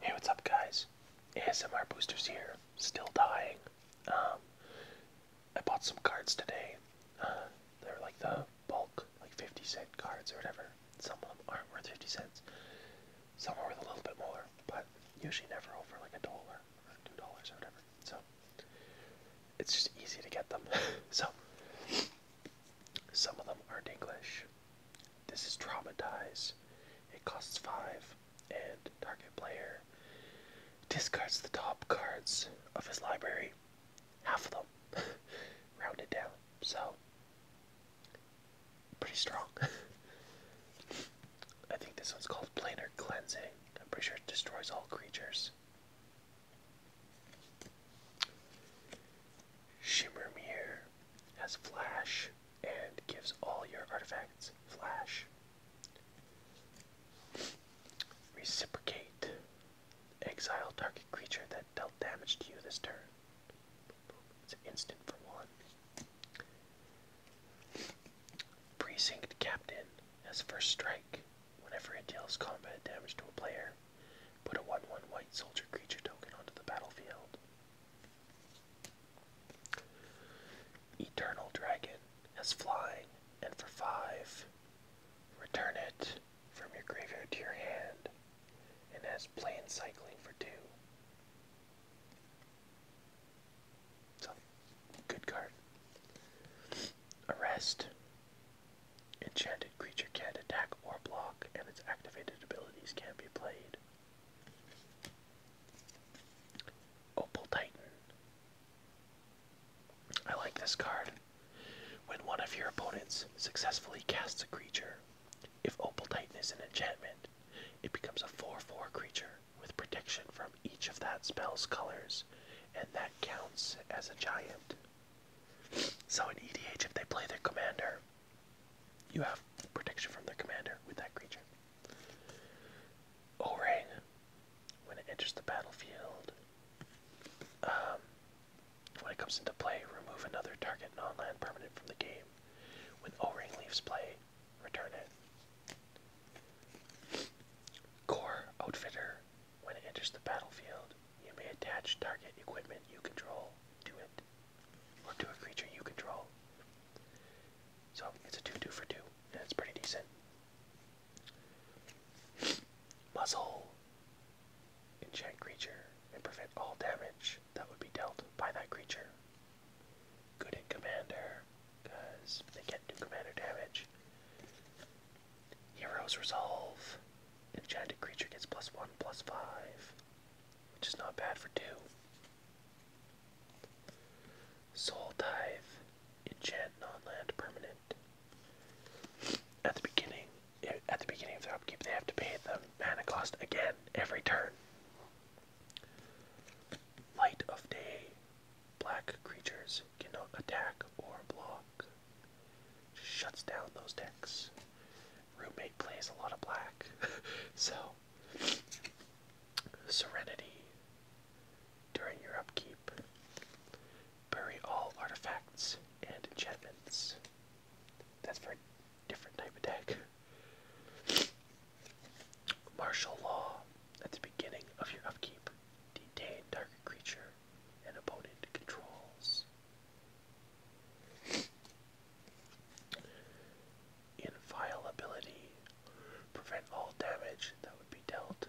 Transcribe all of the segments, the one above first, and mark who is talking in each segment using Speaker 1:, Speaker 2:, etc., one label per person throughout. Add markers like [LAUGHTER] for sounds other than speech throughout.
Speaker 1: Hey, what's up, guys? ASMR Boosters here, still dying. Um, I bought some cards today. Uh, they're like the bulk, like 50 cent cards or whatever. Some of them aren't worth 50 cents, some are worth a little bit more, but usually never over like a dollar or two dollars or whatever. So it's just easy to get them. [LAUGHS] so some of them aren't English, this is Traumatize. It costs 5, and target player discards the top cards of his library. Half of them. [LAUGHS] Rounded down. So, pretty strong. [LAUGHS] I think this one's called Planar Cleansing. I'm pretty sure it destroys all creatures. Shimmer Mirror has flash and gives all your artifacts flash. Reciprocate. Exile target creature that dealt damage to you this turn. It's an instant for one. Precinct Captain has first strike. Whenever it deals combat damage to a player, put a 1 1 white soldier creature token onto the battlefield. Eternal Dragon has flying, and for five, return it from your graveyard to your hand, and has plane cycling for two. It's good card. Arrest. Enchanted creature can't attack or block, and its activated abilities can be played. Opal Titan. I like this card. When one of your opponents successfully casts a creature, if Opal Titan is an enchantment, it becomes a 4-4 creature with protection from each of that spell's colors, and that counts as a giant. So in EDH, if they play their commander, you have protection from the commander with that creature. Orang, when it enters the battlefield, um, when it comes into play, remove another target non permanent from the game. When O-Ring leaves play, return it. Core Outfitter, when it enters the battlefield, you may attach target equipment you control to it, or to a creature you control. So it's a 2 2 for 2, and it's pretty decent. Muzzle. Enchant creature and prevent all damage that would be dealt by that creature. Good in commander, because they get not commander damage. Heroes resolve. Enchanted creature gets plus one, plus five which is not bad for two. Soul Dive, enchant non permanent. At the beginning, at the beginning of their upkeep, they have to pay the mana cost again every turn. Light of Day, black creatures cannot attack or block shuts down those decks. Roommate plays a lot of black. [LAUGHS] so, Serenity. During your upkeep, bury all artifacts and enchantments. That's for a different type of deck. Martial Law. At the beginning of your upkeep, detain target creature And opponent controls. Inviolability. Prevent all damage that would be dealt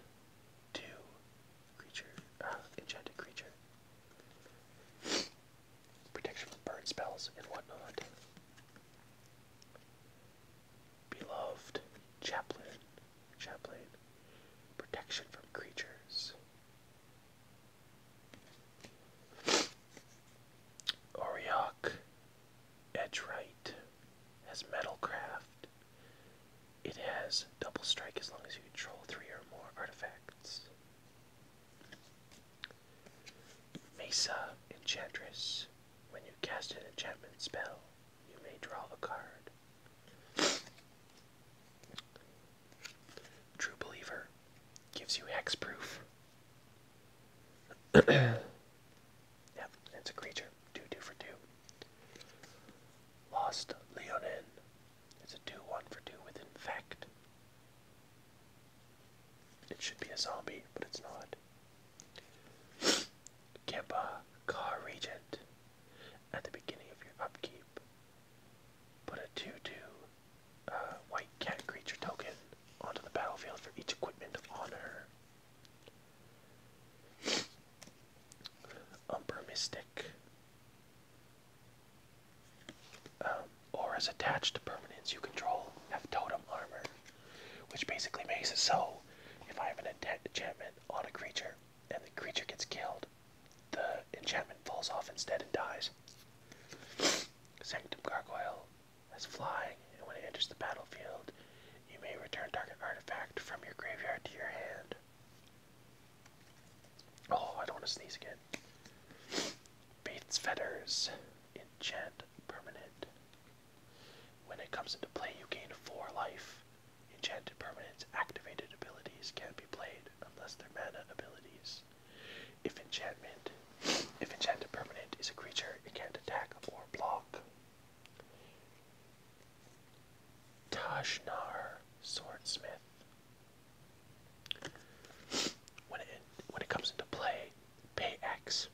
Speaker 1: to creature, uh, enchanted creature. Protection from spells and whatnot. Beloved Chaplain. Chaplain. Protection from creatures edge right, has Metalcraft. It has double strike as long as you control three or more artifacts. Mesa Enchantress. When you cast an enchantment spell, you may draw a card. True Believer gives you hexproof. [CLEARS THROAT] yep, it's a creature. 2 2 for 2. Lost Leonin. It's a 2 1 for 2 with Infect. It should be a zombie, but it's not. Kempa, Car Regent at the beginning of your upkeep. Put a 2 2 uh, white cat creature token onto the battlefield for each equipment of honor. Umber Mystic. Um, or as attached to permanence you control, have totem armor, which basically makes it so if I have an enchantment on a creature and the creature gets killed, the enchantment falls off instead and dies. Sanctum Gargoyle is flying, and when it enters the battlefield, you may return target artifact from your graveyard to your hand. Oh, I don't want to sneeze again. Faith's Fetters. Enchant permanent. When it comes into play, you gain 4 life. Enchanted permanents' activated abilities can't be played unless they're mana abilities. If enchantment, if enchanted permanent is a creature, it can't attack or block. Tajnar, Swordsmith. When it, when it comes into play, pay X.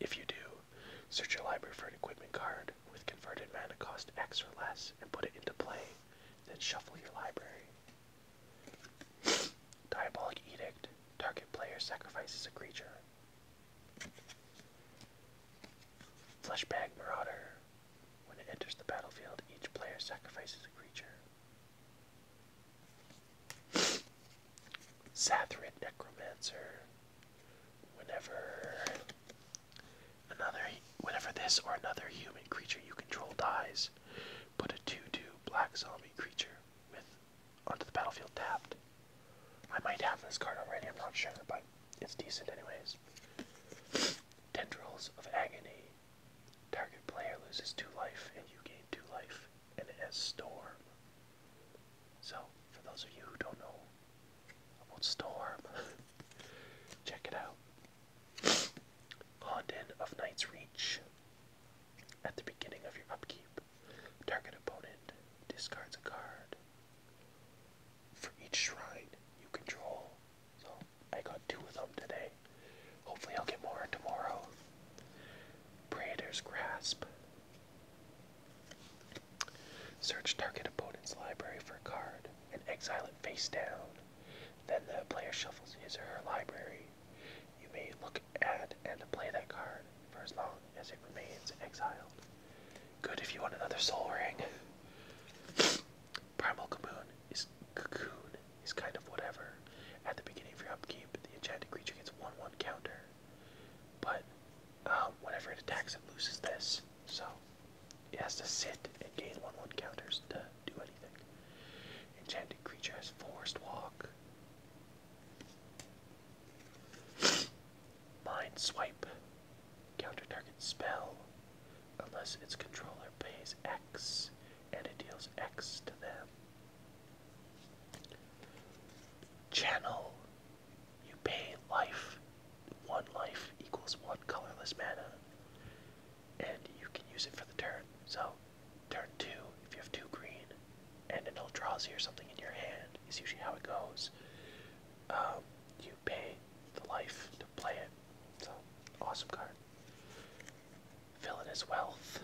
Speaker 1: If you do, search your library for an equipment card with converted mana cost X or less and put it into play then shuffle your library. Diabolic Edict. Target player sacrifices a creature. Fleshbag Marauder. When it enters the battlefield, each player sacrifices a creature. Sathrid Necromancer. Whenever Another, whenever this or another human creature you control dies, put a 2-2 black zombie creature with onto the battlefield tapped. I might have this card already, I'm not sure, but it's decent anyways. Tendrils of Agony. Target player loses 2 life and you gain 2 life and it has Storm. So, for those of you who don't know about Storm. [LAUGHS] Check it out. Honden of Knight's Reach. At the beginning of your upkeep, target opponent discards a card. For each shrine you control. So I got two of them today. Hopefully I'll get more tomorrow. Praetor's Grasp. Search target opponent's library for a card and exile it face down. Then the player shuffles his or her library. You may look at and play that card for as long as it remains exiled. Good if you want another soul ring. Primal Cocoon is cocoon is kind of whatever. At the beginning of your upkeep, the enchanted creature gets one one counter. But um, whenever it attacks, it loses this. So it has to sit and gain one one counters to do anything. Enchanted creature has forced walk. [SNIFFS] Mind swipe. Counter target spell. Unless its controller pays X and it deals X to them. Channel you pay life. One life equals one colorless mana. And you can use it for the turn. So, turn two, if you have two green, and an Eldrazi or something in your hand, is usually how it goes. Um, you pay the life to play it. So, awesome card. Villainous Wealth.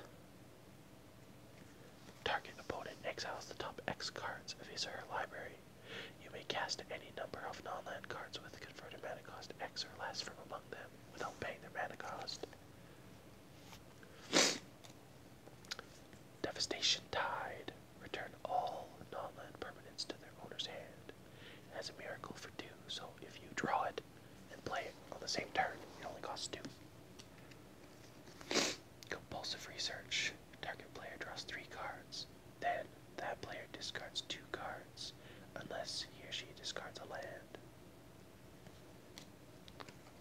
Speaker 1: Target opponent exiles the top X cards of his or her library you may cast any number of non-land cards with converted mana cost X or less from among them without paying their mana cost. Devastation Tide. Return all non-land permanents to their owner's hand. It has a miracle for two, so if you draw it and play it on the same turn, it only costs two. Compulsive Research. Target player draws three cards. Then, that player discards two cards, unless he or she discards a land.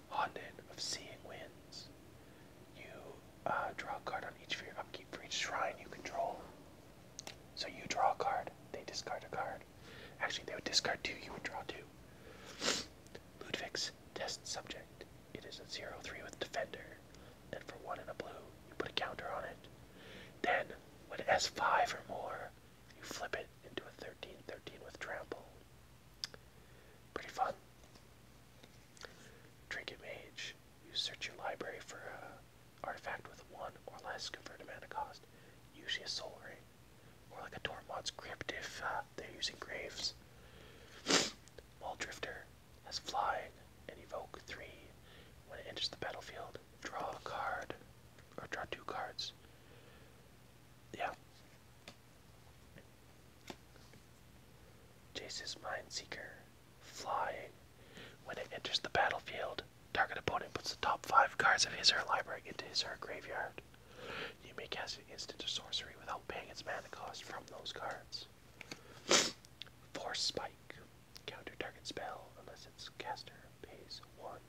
Speaker 1: Haunted of Seeing Winds. You uh, draw a card on each of your upkeep for each shrine you control. So you draw a card, they discard a card. Actually, they would discard two, you would draw two. Ludwig's Test Subject. It is a 0-3 with defender, Then for one in a blue, you put a counter on it. Then, when S5 or more, you flip it into a 13-13 with trample. Pretty fun. Trinket Mage. You search your library for an artifact with one or less converted mana cost, usually a soul ring, or like a Tormod's grip. if uh, they're using graves. wall [SNIFFS] Drifter. As flying and evoke three. When it enters the battlefield, draw a card. Or draw two cards. Yeah. Mind Seeker, Flying. When it enters the battlefield, target opponent puts the top five cards of his or her library into his or her graveyard. You may cast an instant or sorcery without paying its mana cost from those cards. Force Spike. Counter target spell unless its caster pays one.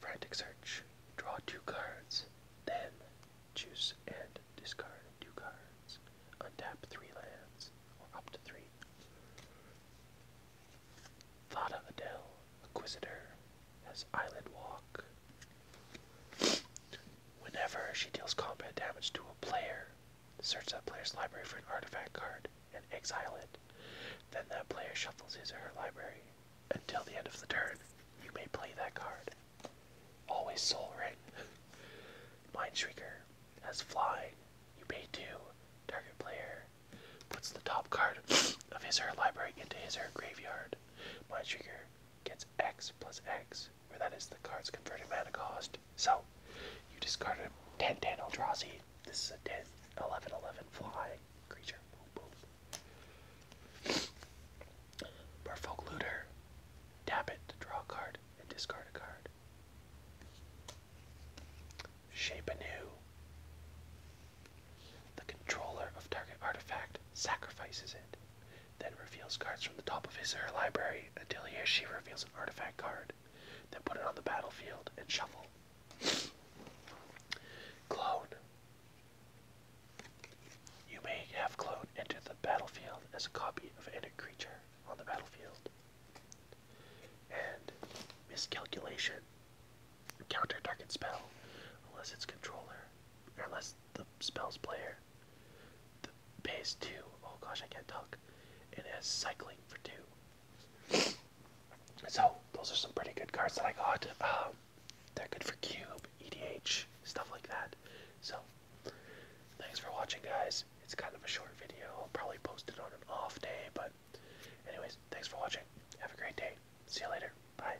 Speaker 1: Frantic Search. Draw two cards, then choose and discard two cards. Untap three lands, or up to three. Thada Adele, Acquisitor, has Island Walk. Whenever she deals combat damage to a player, search that player's library for an artifact card and exile it. Then that player shuffles his or her library. Until the end of the turn, you may play that card. Always Soul Ring. [LAUGHS] Mindshriker has flying. You pay two. Target player puts the top card [SNIFFS] of his or her library into his or her graveyard. Mindshriker gets x plus x, where that is the card's converted mana cost. So you discard a 10 10 Eldrazi. This is a 10 11 11 fly creature. Boom, boom. Looter. Tap it to draw a card and discard a card. Shape Anew. The controller of target artifact sacrifices it then reveals cards from the top of his her library until he she reveals an artifact card, then put it on the battlefield and shuffle. Clone. You may have Clone enter the battlefield as a copy of any creature on the battlefield. And Miscalculation. Counter target spell unless its controller, unless the spells player. The base two. Oh gosh, I can't talk. And it has cycling for two. So those are some pretty good cards that I got. Um, they're good for cube, EDH, stuff like that. So thanks for watching, guys. It's kind of a short video. I'll probably post it on an off day, but anyways, thanks for watching. Have a great day. See you later. Bye.